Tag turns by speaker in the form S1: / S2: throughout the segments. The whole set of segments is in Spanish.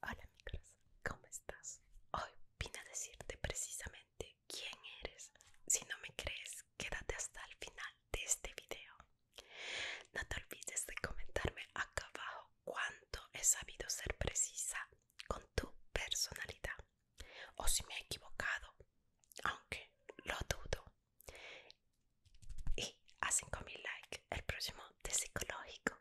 S1: Hola mi ¿cómo estás? Hoy vine a decirte precisamente quién eres. Si no me crees, quédate hasta el final de este video. No te olvides de comentarme acá abajo cuánto he sabido ser precisa con tu personalidad o si me he equivocado, aunque lo dudo. Y a 5000 likes el próximo de psicológico.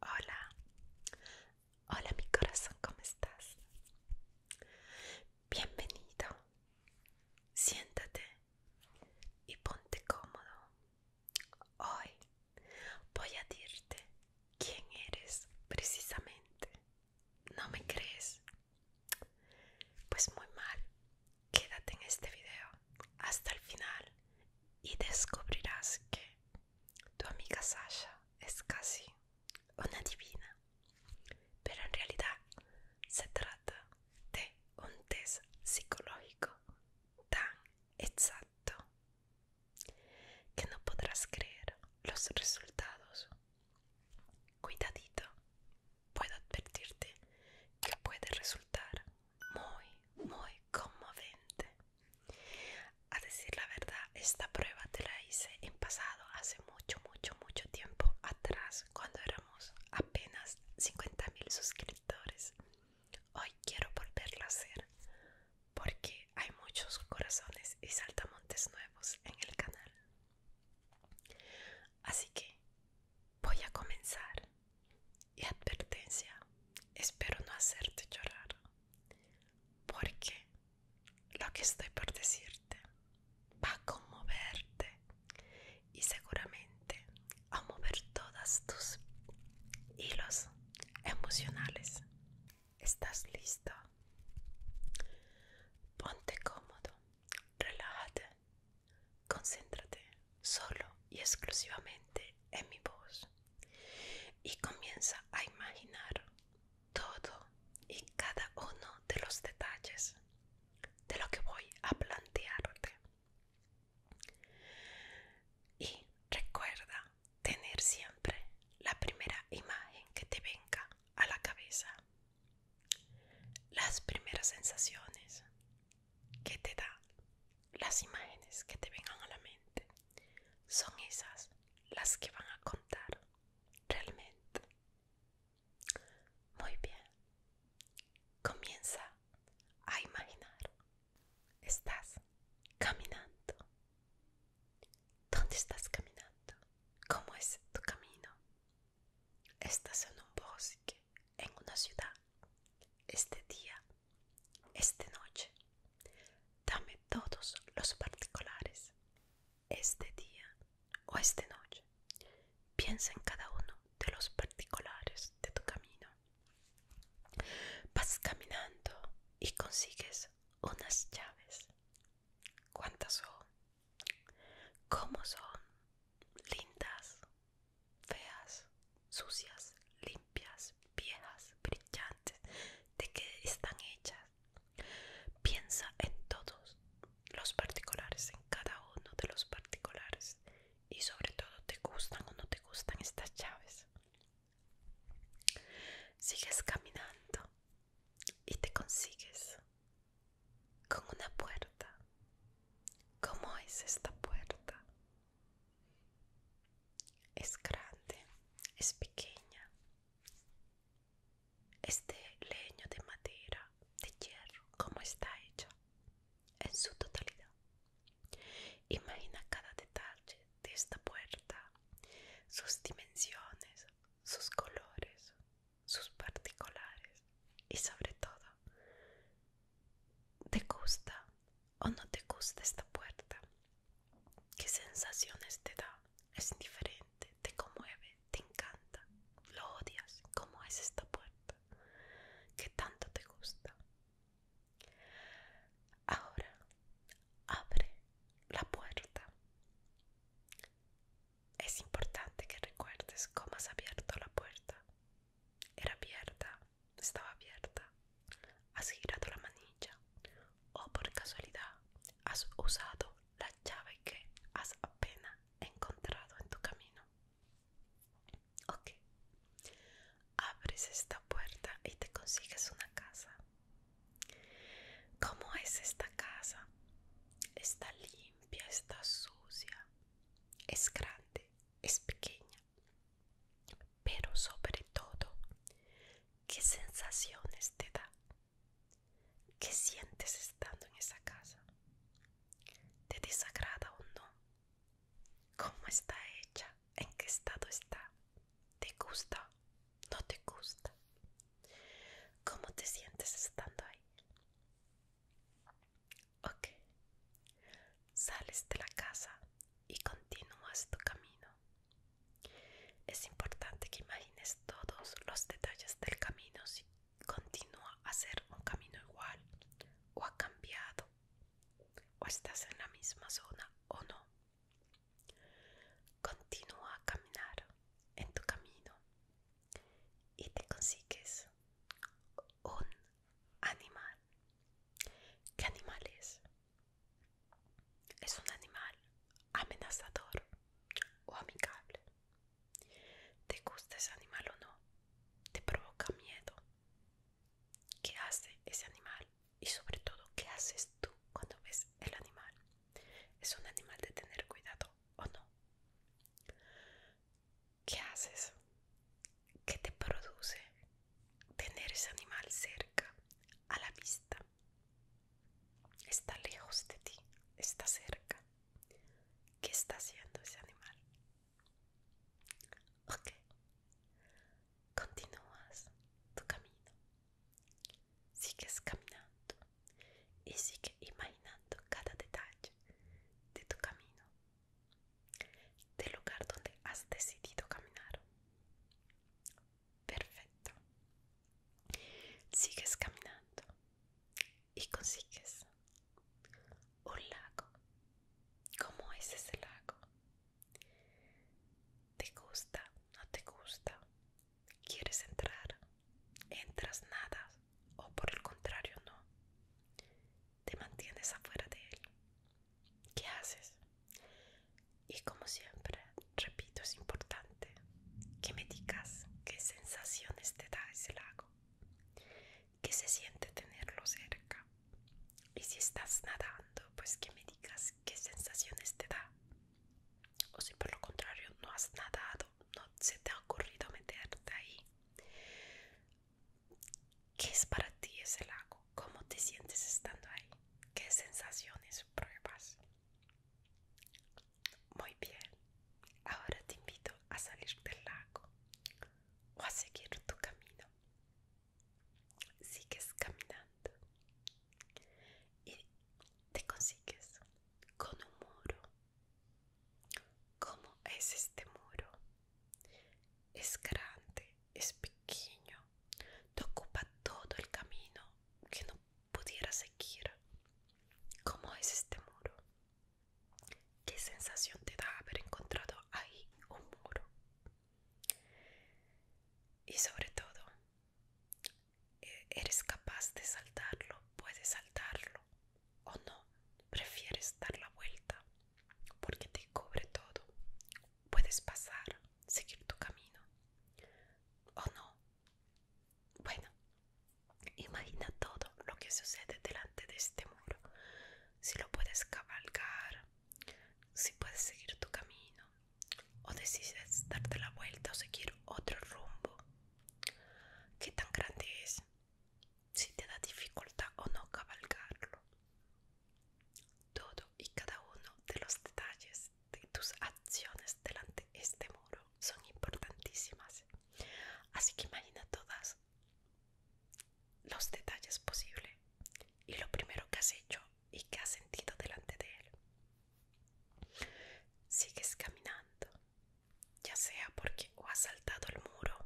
S1: Hola, hola mi corazón, ¿cómo estás? Bienvenido, siéntate y ponte cómodo Hoy voy a dirte quién eres precisamente. ¿No me crees? Pues muy mal. Quédate en este video hasta el final y descubrirás que tu amiga Sasha es casi una divina. Pero en realidad se trata de un test psicológico tan exacto que no podrás creer los resultados. Cuidadito, puedo advertirte que puede resultar muy, muy conmovente. A decir la verdad, esta prueba te la hice en pasado, hace mucho, mucho, mucho tiempo atrás, cuando éramos apenas 50.000 suscriptores. Hoy quiero volverlo a hacer porque hay muchos corazones y saltamontes nuevos en el canal. Así que voy a comenzar. Y advertencia, espero no hacerte llorar porque lo que estoy por decirte va a conmoverte y seguramente a mover todas tus hilos emocionales. ¿Estás listo? Ponte cómodo, relájate, concéntrate solo y exclusivamente en mi voz y comienza a imaginar todo y cada uno de los detalles de lo que voy a plantearte. Y recuerda tener siempre la primera imagen que te venga a la cabeza, las primeras sensaciones que te dan, las imágenes que te vengan a la mente, son esas las que van a contar realmente. Muy bien, comienza a imaginar estás caminando. ¿Dónde estás caminando? ¿Cómo es tu camino? Estás en un bosque, en una ciudad. Este día, esta noche. Dame todos los particulares. Este día o esta noche. Piensa en cada uno de los particulares de tu camino. Vas caminando y consigues unas llaves. ¿Cuántas son? ¿Cómo son? Lindas, feas, sucias, limpias, viejas, brillantes. ¿De qué están hechas? Piensa en todos los particulares, en cada uno de los particulares. Y sobre todo, ¿te gustan o no te gustan estas llaves? Sigues caminando y te consigues con una puerta. ¿Cómo es esta puerta? Es grande, es pequeña, Este leño, de madera, de hierro, como está hecho en su totalidad. Imagina cada detalle de esta puerta, sus dimensiones, sus colores, sus particulares y sobre todo, ¿te gusta o no te gusta esta puerta? ¿Qué sensaciones te da? Es diferente? te conmueve, te encanta, lo odias, ¿cómo es esta puerta? ¿Qué tanto te gusta? Ahora abre la puerta. Es importante que recuerdes cómo has abierto la puerta. Era abierta, estaba abierta. Has girado la manilla o por casualidad has usado la llave que has apenas encontrado en tu camino. Ok abres esta puerta y te consigues una casa. ¿Cómo es esta casa? Está limpia, está sucia, es grande, es pequeña, pero sobre todo, ¿qué sensaciones te da? ¿Qué sientes estando en esa casa? ¿Te desagrada o no? ¿Cómo está hecha? ¿En qué estado está? ¿Te gusta? ¿No te gusta? ¿Cómo te sientes estando ahí? Ok. Sales de la casa y continúas tu camino. Es importante que imagines todos los detalles del camino si continúa a ser un camino igual o ha cambiado o estás en la misma zona o no. Continúa a caminar en tu camino y te consigues un animal. ¿Qué animal es? Es un animal amenazador o amigable. ¿Te gusta ese animal o no? ¿Te provoca miedo? qué hace ese animal y sobre todo qué haces tú cuando ves el animal. ¿Es un animal de tener cuidado o no? ¿Qué haces? ¿Qué te produce tener ese animal cerca, a la vista? ¿Está lejos de ti? ¿Está cerca? ¿Qué está haciendo ese animal? Ok. Continúas tu camino. Sigues caminando y sigue imaginando cada detalle de tu camino, del lugar donde has decidido caminar. Perfecto. Sigues caminando y consigues un lago. ¿Cómo es ese lago? ¿Te gusta? ¿No te gusta? ¿Quieres entrar? ¿Entras nada? ¿O por el contrario no? ¿Te mantienes afuera de él? ¿Qué haces? Y como siempre, repito, es importante que me digas qué sensaciones te da ese lago, qué se siente tenerlo cerca, y si estás nadando, pues que me digas qué sensaciones te da. O si por lo contrario no has nadado, no se te ha ocurrido meterte ahí. ¿Qué es para ti ese lago? ¿Cómo te sientes estando ahí? ¿Qué sensaciones pruebas? Muy bien, ahora te invito a salir del lago o a seguir tu camino sigues caminando y te consigues con un muro. ¿Cómo es este muro? Es grande, es pequeño, te ocupa todo el camino que no pudiera seguir. ¿Cómo es este muro? ¿Qué sensación te da haber encontrado ahí un muro? Y sobre todo, eres capaz de saltarlo, puedes saltarlo o no, prefieres dar la vuelta porque te cubre todo. Puedes pasar, seguir tu camino o no. Bueno, imagina todo lo que sucede delante de este muro. Si lo puedes cabalgar, si puedes seguir tu camino, o decides darte la vuelta o seguir otro rumbo. ¿Qué tan grande es? Si te da dificultad o no cabalgarlo. Todo y cada uno de los detalles de tus acciones delante de este muro son importantísimas. Así que imagina todas los detalles posibles. Y lo primero que has hecho y que ha sentido delante de él. Sigues caminando, ya sea porque o has saltado el muro,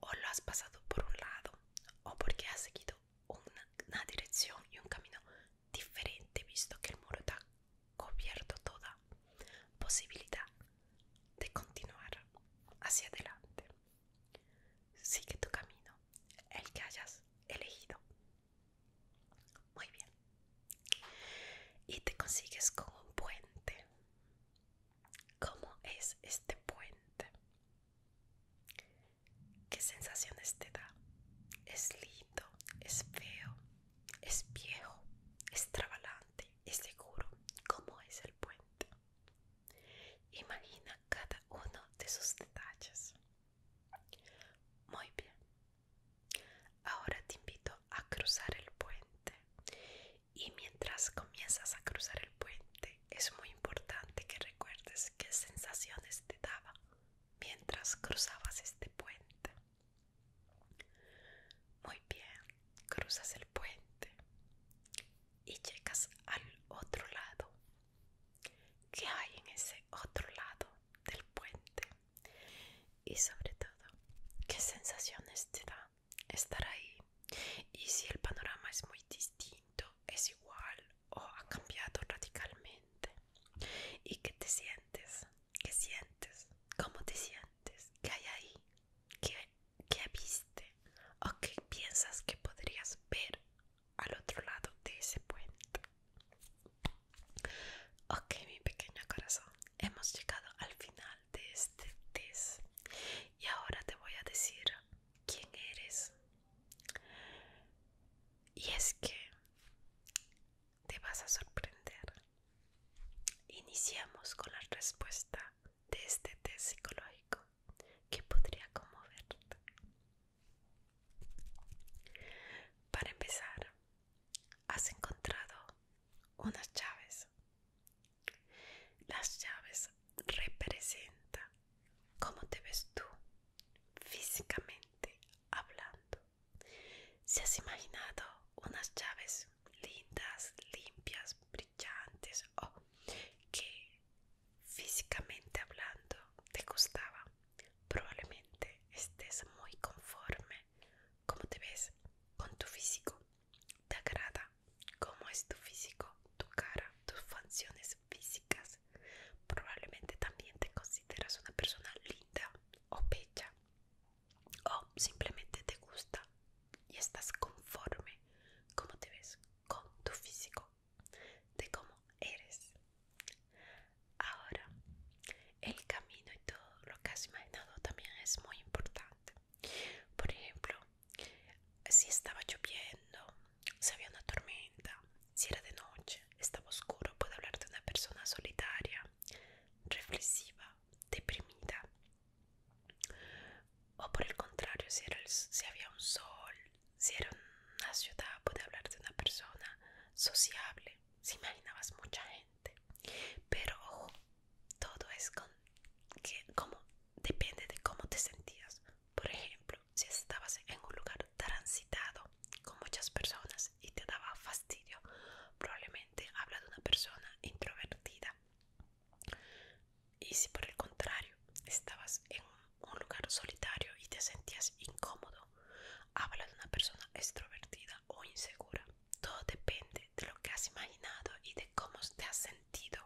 S1: o lo has pasado por un lado, o porque has seguido una, dirección y un camino diferente visto que el muro te ha cubierto toda posibilidad de continuar hacia adelante. Sigue tu camino, el que hayas elegido. Muy bien. Y te consigues con un puente. ¿Cómo es este puente? ¿Qué sensaciones te da? Es lindo, es feo, es viejo, es trabalante, es seguro. ¿Cómo es el puente? Imagina cada uno de sus detalles. Muy bien. Ahora te invito a cruzar el puente. Y mientras comienzas a cruzar el puente, es muy importante que recuerdes qué sensaciones te daba mientras cruzabas este puente. Muy bien, cruzas el puente y llegas al otro lado qué hay en ese otro lado del puente y sobre todo qué sensaciones te da estar ahí y si el panorama es muy distinto, es igual o ha cambiado radicalmente y qué te sientes, qué sientes, cómo te sientes, qué hay ahí, qué, viste o qué piensas que podrías ver al otro lado de ese puente. Ok, mi pequeño corazón, hemos llegado al final de este test y ahora te voy a decir quién eres. Y es que te vas a sorprender. Iniciamos con la respuesta de este test psicológico que podría conmoverte. Para empezar, has encontrado unas llaves. Las llaves representan cómo te ves tú físicamente hablando. Si has imaginado unas llaves lindas, limpias, brillantes o oh, que físicamente hablando te gustaba, probablemente estés muy conforme como te ves con tu físico. Te agrada cómo es tu físico, tu cara, tus funciones físicas. Probablemente también te consideras una persona linda o bella o simplemente te gusta y estás conforme como te ves con tu físico de cómo eres. Ahora, el camino y todo lo que has imaginado también es muy importante. Por ejemplo, si estaba lloviendo, si había una tormenta, si era de noche, estaba oscuro, puede hablar de una persona solitaria, reflexiva, deprimida. O por el contrario, si, si había un sol, si era una ciudad, puede hablar de una persona sociable. Si imaginabas mucha gente. Pero ojo, todo es con que, como depende de cómo te sentías. Por ejemplo, si estabas en un lugar transitado con muchas personas y te daba fastidio, probablemente habla de una persona introvertida. Y si por el contrario estabas en un un lugar solitario y te sentías incómodo. Habla de una persona extrovertida o insegura. Todo depende de lo que has imaginado y de cómo te has sentido.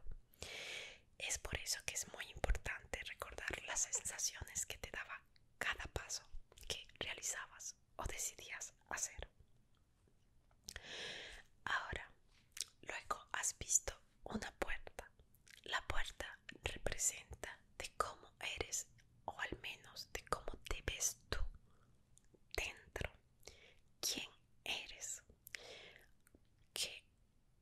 S1: Es por eso que es muy importante recordar las sensaciones que te daba cada paso que realizabas o decidías hacer. Ahora, luego has visto una puerta la puerta representa de cómo eres o al menos de cómo te ves tú dentro. ¿Quién eres? que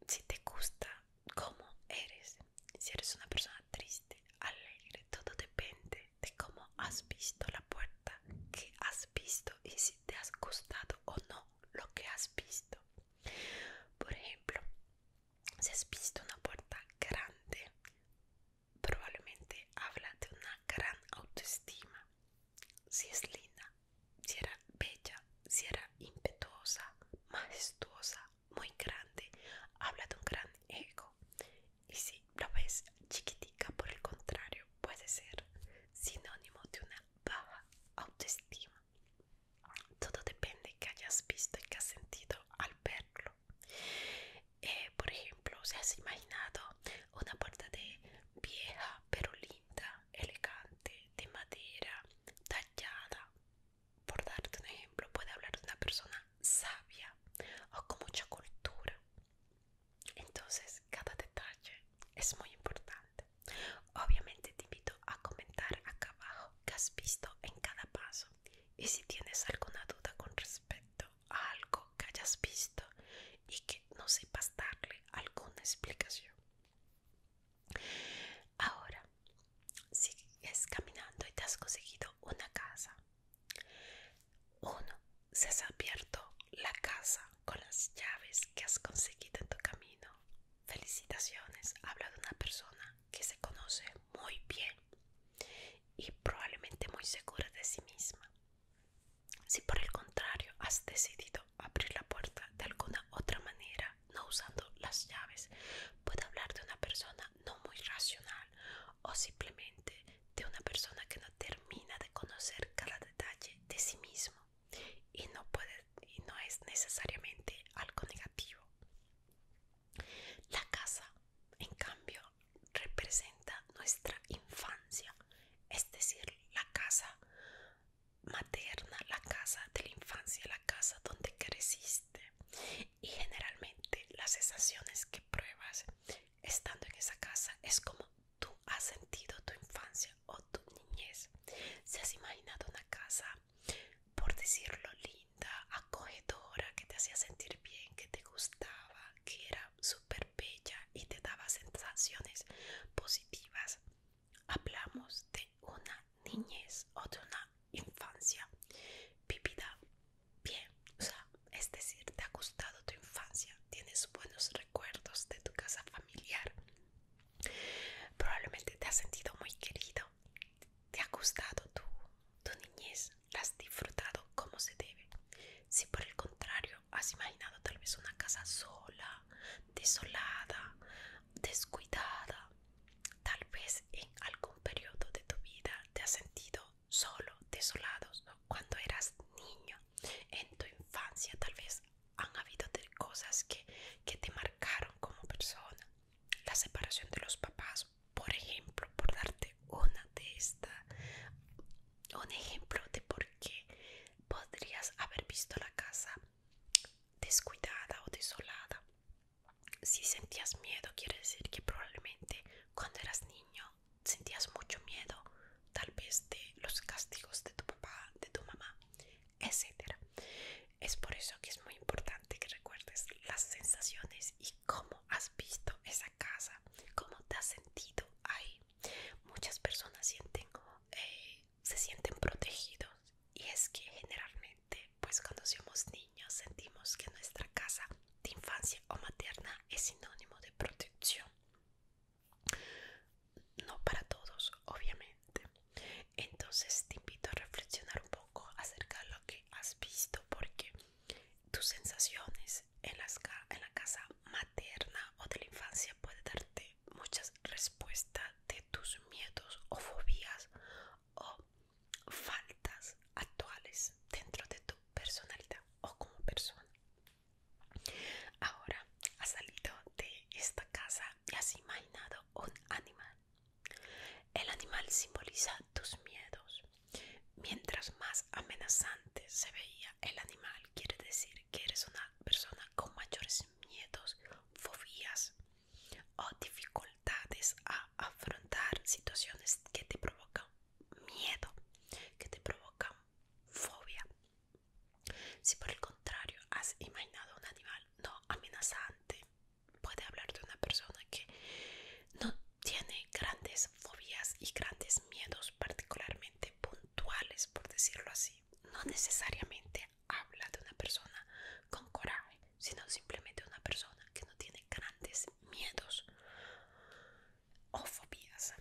S1: Si te gusta cómo eres. Si eres una persona triste, alegre, todo depende de cómo has visto la puerta, qué has visto y si te has gustado o no lo que has visto. Por ejemplo, si has visto una puerta grande, probablemente habla de una gran autoestima. Si es linda, si era bella, si era impetuosa, majestuosa, muy grande, habla de un gran ego. Y si la ves chiquitica, por el contrario, puede ser sinónimo de una baja autoestima todo depende de que hayas visto y que has sentido al verlo. Eh, por ejemplo, si has imaginado una puerta de vieja pero linda, elegante, de madera, tallada, por darte un ejemplo, puede hablar de una persona sabia o con mucha cultura. Entonces, cada detalle es muy importante. Obviamente te invito a comentar acá abajo qué has visto en cada paso y si tienes alguna duda con respecto a algo que hayas visto y que no sepas darle alguna explicación. Ahora, sigues caminando y te has conseguido una casa. Uno, se has abierto la casa con las llaves que has conseguido en tu camino. Felicitaciones, habla de una persona que se conoce muy bien y probablemente muy segura de sí misma. Si por el contrario has decidido abrir la puerta de alguna otra manera, no usando las llaves, puede hablar de una persona no muy racional o simplemente de una persona que no termina de conocer cada detalle de sí mismo y no, puede, y no es necesariamente algo negativo. La casa, en cambio, representa nuestra infancia, es decir, la casa materna, la casa de la infancia, la casa donde creciste. Y generalmente las sensaciones que pruebas estando en esa casa es como tú has sentido tu infancia o tu niñez. Si has imaginado una casa, por decirlo, acogedora, que te hacía sentir bien, que te gustaba, que era súper bella y te daba sensaciones positivas. Hablamos de una niñez o de una infancia vivida bien, o sea, es decir, te ha gustado tu infancia, tienes buenos recuerdos de tu casa familiar, probablemente te has sentido muy querido ¿Te ha gustado tu, tu niñez? ¿La has disfrutado como se debe? Si por el contrario has imaginado tal vez una casa sola, desolada, descuidada, tal vez en algún periodo de tu vida te has sentido solo, desolado, cuando eras niño, en tu infancia tal vez han habido cosas que, que te marcaron como persona la separación de los papás, por ejemplo, por darte una de estas, un ejemplo de por qué podrías haber visto la casa descuidada o desolada. Si sentías miedo, quiere decir que probablemente cuando eras niño sentías mucho miedo, tal vez de los castigos de tu papá, de tu mamá, etcétera. Es por eso que es muy importante que recuerdes las sensaciones y cómo has visto esa casa, cómo te has sentido ahí. Muchas personas eh, se sienten protegidos y es que generalmente, pues cuando somos niños sentimos que nuestra casa de infancia o materna es sinónimo de protección. No para todos, obviamente. Entonces te invito a reflexionar un poco acerca de lo que has visto porque tus sensaciones en, en la casa materna o de la infancia puede darte muchas respuestas de tus miedos o fobias o faltas actuales dentro de tu personalidad o como persona. Ahora has salido de esta casa y has imaginado un animal el animal simboliza tus miedos. Mientras más amenazante se veía el animal, quiere decir que eres una persona con mayores miedos, fobias o dificultades a afrontar situaciones que te provocan miedo, que te provocan fobia. Si por el contrario has imaginado un animal no amenazante, puede hablar de una persona que no tiene grandes fobias y grandes miedos particularmente puntuales, por decirlo así. No necesariamente habla de una persona con coraje, sino simplemente una persona que no tiene grandes miedos o fobias.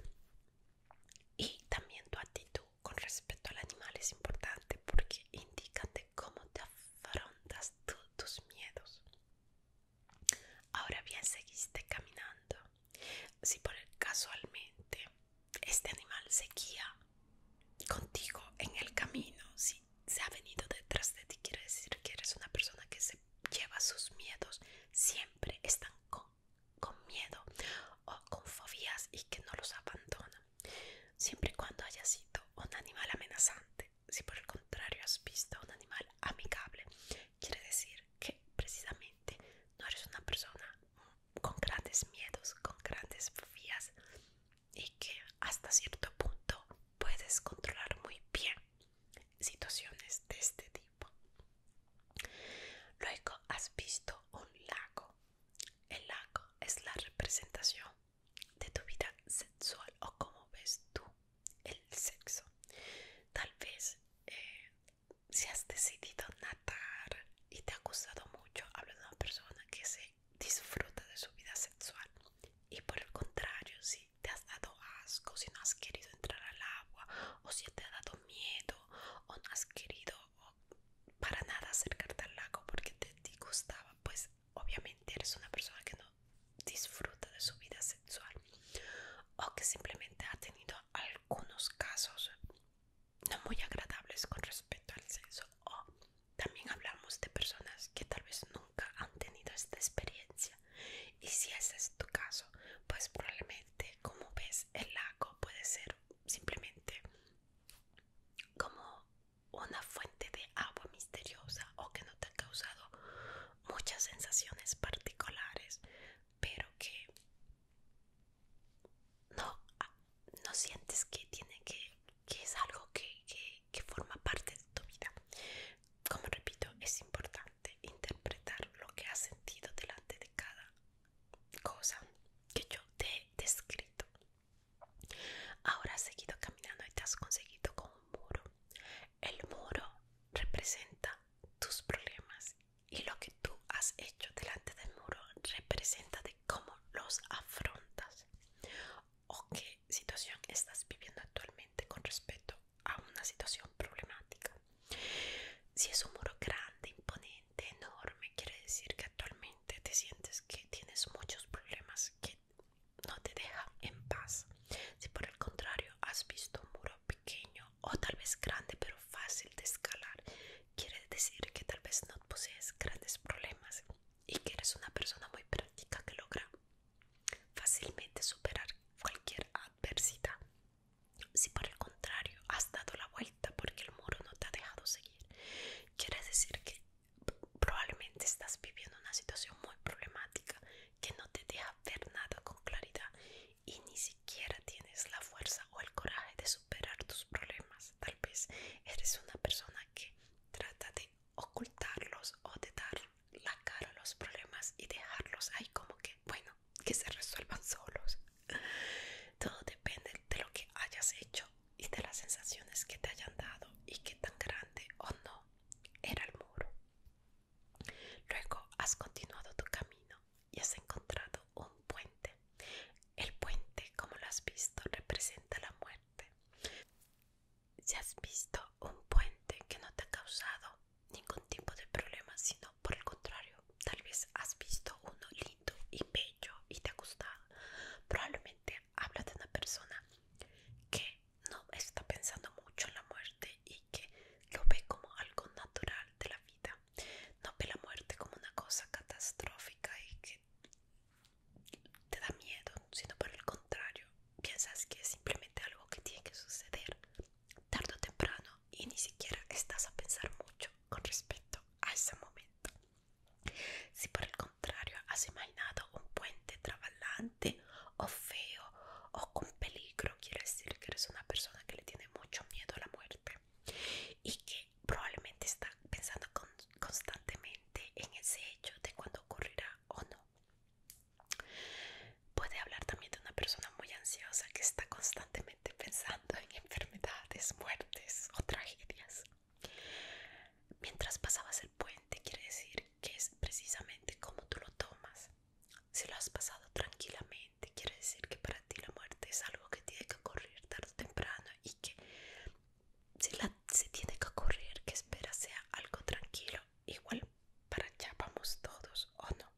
S1: Y también tu actitud con respecto al animal es importante porque indica de cómo te afrontas tus miedos. Ahora bien, seguiste caminando. Si por casualmente este animal se guía contigo en el camino, si se ha venido detrás de ti, quiere decir que eres una persona que se lleva sus miedos, siempre están con, con miedo o con fobias y que no los abandona, siempre y cuando haya sido un animal amenazante. Si por el contrario has visto un animal amigable, quiere decir que precisamente no eres una persona con grandes miedos, con grandes fobias y que hasta cierto punto puedes controlar muy bien situaciones de este tipo. Luego has visto un lago. El lago es la representación de tu vida sexual o cómo ves tú el sexo. Tal vez eh, si has decidido nadar y te ha gustado mucho, hablo de una persona que se disfruta de su vida sexual. Y por el contrario, si te has dado asco, si no has querido entrar al agua, o si te ha dado miedo, o no has querido para nada acercarte al lago porque te disgustaba, pues obviamente eres una persona que no disfruta de su vida sexual o que simplemente ha tenido algunos casos no muy agradables con respecto al sexo o también hablamos de personas que tal vez nunca han tenido esta experiencia y si ese es tu caso pues probablemente como ves el lago puede ser simplemente como una fuente de agua misteriosa o que no te ha causado muchas sensaciones particulares, pero que no, ah, no sientes que tiene que, que es algo que, que forma parte de tu vida. Como repito, es importante interpretar lo que has sentido delante de cada cosa que yo te he descrito. Ahora has seguido caminando y te has conseguido con un muro el muro representa tus problemas y lo que tú has hecho delante del muro representa de cómo los afrontas o qué situación estás viviendo actualmente con respecto a una situación problemática. Si es un muro grande, imponente, enorme, quiere decir que actualmente te sientes que tienes muchos problemas que no te deja en paz. Si por el contrario has visto un muro pequeño o tal vez grande pero fácil de escalar, quiere decir que tal vez no posees grandes problemas y que eres una persona muy práctica que logra fácilmente superar cualquier adversidad. Si por el contrario has dado la vuelta porque el muro no te ha dejado seguir, quiere decir que probablemente estás viviendo una situación muy problemática que no te deja ver nada con claridad y ni siquiera tienes la fuerza o el coraje de superar tus problemas. Tal vez eres una persona que trata de ocultarlos o de dar la cara a los problemas y dejarlos ahí como que, bueno, que se resuelvan solos. Todo depende de lo que hayas hecho y de las sensaciones que te hayan dado y qué tan grande o no era el muro. Luego has continuado tu camino y has encontrado un puente. El puente, como lo has visto, representa la muerte. Si has visto un puente que no te ha causado ningún tipo de problema, sino por el contrario, tal vez has visto uno lindo y bello y te ha gustado. Probablemente habla de una persona que no está pensando mucho en la muerte y que lo ve como algo natural de la vida. No ve la muerte como una cosa catastrófica y que te da miedo, sino por el contrario, piensas que es simplemente algo que tiene que suceder tarde o temprano y ni siquiera estás a pensar mucho con respecto a ese momento. Si por el contrario has imaginado un puente trabajando o feo o con peligro quiere decir que eres una persona que le tiene mucho miedo a la muerte y que probablemente está pensando constantemente en ese hecho de cuando ocurrirá o no puede hablar también de una persona muy ansiosa que está constantemente pensando en enfermedades muertes o tragedias mientras pasabas el puente quiere decir que es precisamente como tú lo tomas. Si lo has pasado tranquilamente, quiere decir que para ti la muerte es algo que tiene que ocurrir tarde o temprano y que si la, se tiene que ocurrir, que espera sea algo tranquilo, igual para allá vamos todos o no.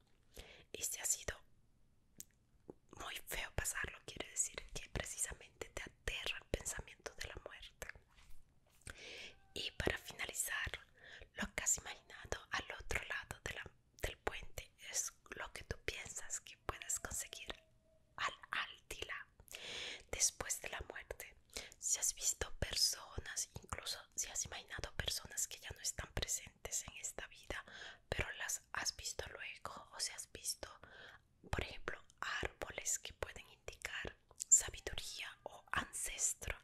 S1: Y si ha sido muy feo pasarlo, quiere decir que precisamente te aterra el pensamiento de la muerte. Y para finalizar, lo que has imaginado al otro lado del puente es lo que tú piensas que puedas conseguir al altila después de la muerte. Si has visto personas, incluso si has imaginado personas que ya no están presentes en esta vida, pero las has visto luego o si has visto, por ejemplo, árboles que pueden indicar sabiduría o ancestro.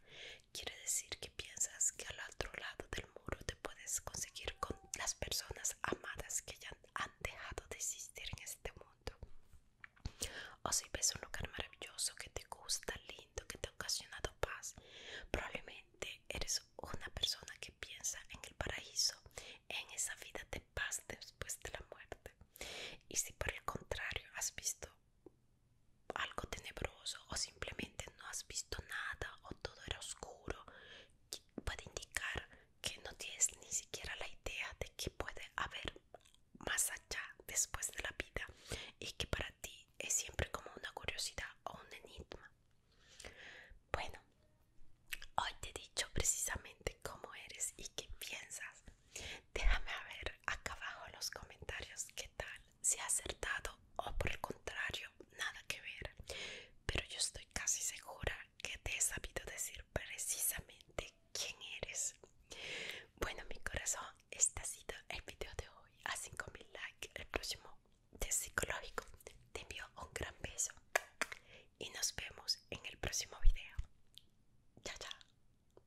S1: Quiere decir que piensas que al otro lado del muro te puedes conseguir con las personas amadas que ya han dejado de existir en este mundo. O si ves un lugar maravilloso que te gusta, lindo, que te ha ocasionado paz, probablemente eres una persona que piensa en el paraíso, en esa vida de paz después de la muerte. Y si por el contrario has visto algo tenebroso o simplemente no has visto nada o todo era oscuro puede indicar que no tienes ni siquiera la idea de que puede haber más allá después de la vida y que para ti es siempre como una curiosidad o un enigma bueno hoy te he dicho precisamente cómo eres y qué piensas Déjame a ver acá abajo en los comentarios qué tal, si ha acertado o por el contrario, nada que ver. Pero yo estoy casi segura que te he sabido decir precisamente quién eres. Bueno, mi corazón, este ha sido el video de hoy. A 5000 likes, el próximo de psicológico. Te envío un gran beso y nos vemos en el próximo video. Chao, chao.